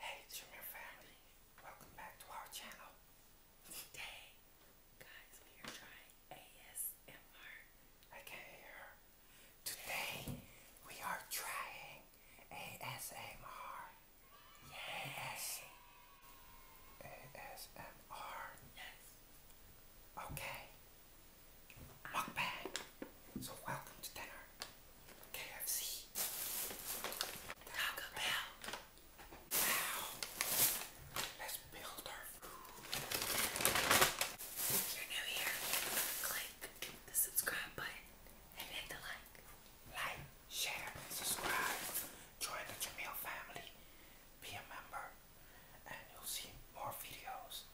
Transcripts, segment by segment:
Hey, Junior family, welcome back to our channel. Today, guys, we are trying ASMR. I can Today, we are trying ASMR. Yay. AS ASMR. Yes. Okay mukbang. So welcome to dinner. KFC. Taco Bell. Now, let's build our food. If you're new here, click the subscribe button and hit the like. Like, share, subscribe. Join the Jamil family. Be a member and you'll see more videos.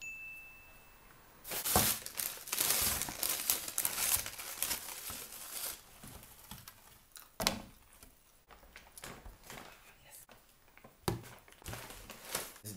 Yes. This is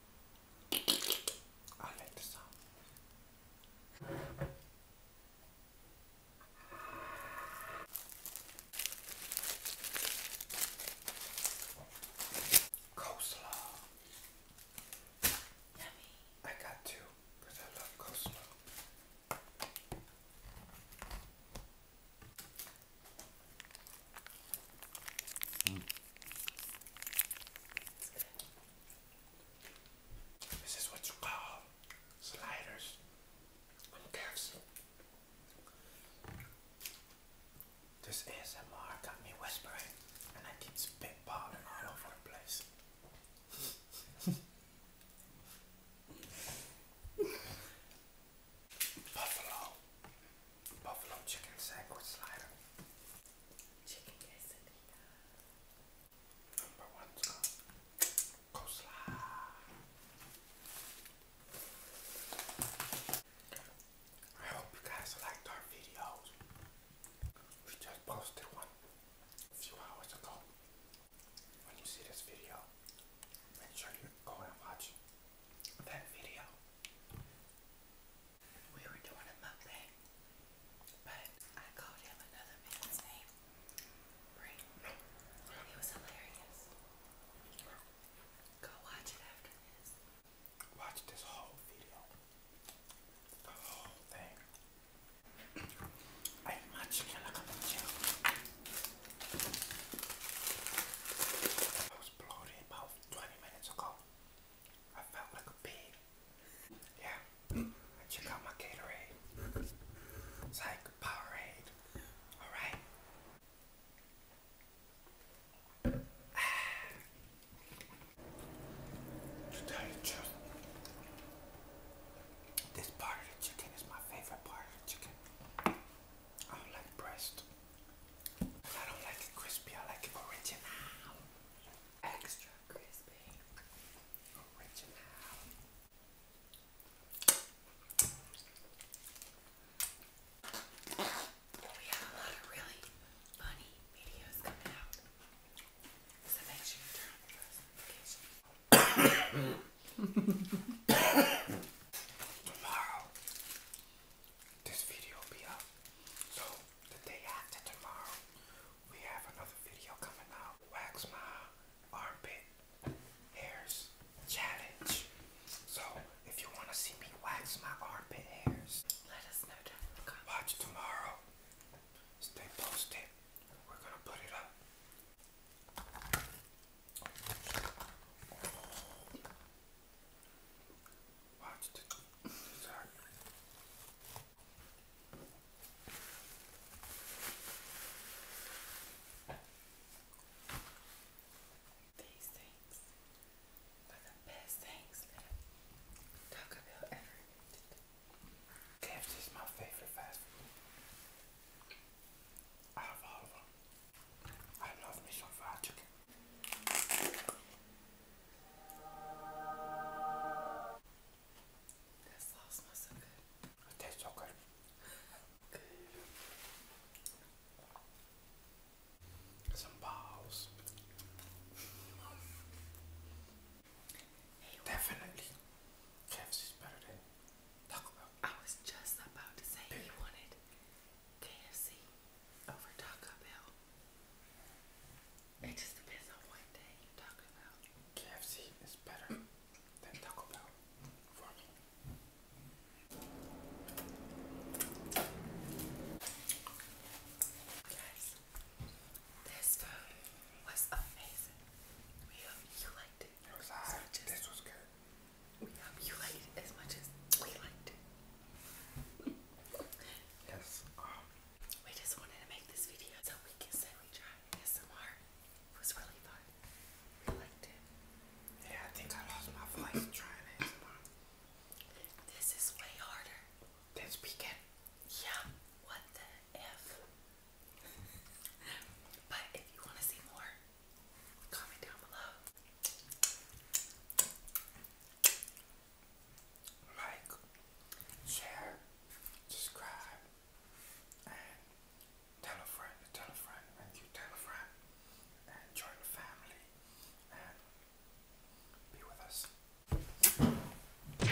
I like the sound. Coleslaw. I got two I love coleslaw. Mm. This is what you call sliders on KFC. This ASMR got me whispering and I keep spitballing all over the place. Buffalo. Buffalo chicken sandwich slider. Chicken quesadilla. Number one's coleslaw. I hope you guys liked our videos. We just posted one a few hours ago. When you see this video, make sure you go and watch that video we were doing a mukbang, but I called him another man's name. It was hilarious. Go watch it after this. Watch this whole video. The whole thing. I eat my chicken I'm a chicken. I was bloated about 20 minutes ago. I felt like a pig. Yeah, I check out my Gatorade. It's like Powerade. Alright? Ah. To this part of the chicken is my favorite part of the chicken. I don't breast. I don't like it crispy, I like it original. Extra crispy. Original. We have a lot of really funny videos coming out. So make sure you turn on your notifications. Tomorrow this video will be up. So the day after tomorrow, we have another video coming out. Wax my armpit hairs challenge. So if you want to see me wax my armpit hairs, let us know down in Watch tomorrow. Stay posted. We're gonna put it up. Watch the These things are the best things ever KFC is my favorite fast food. Out of all of them. I love me some fried That sauce smells so good. It tastes so good. Some balls. Hey, Definitely. KFC's better than Taco I was just about to say he wanted KFC over Taco Bell. It just depends on what day you're KFC is better than Taco Bell for me. Guys, this food was amazing. We hope you liked it. It was hot. this was good. We hope you liked it as much as we liked it. Yes. we just wanted to make this video so we can say we tried ASMR. It was really fun. We liked it. Yeah, I think I lost my voice trying ASMR. This is way harder. Than speaking. Yeah. What the F? but if you want to see more, Comment down below. Like, share, subscribe, and tell a friend tell a friend, tell a friend, and join the family, and be with us.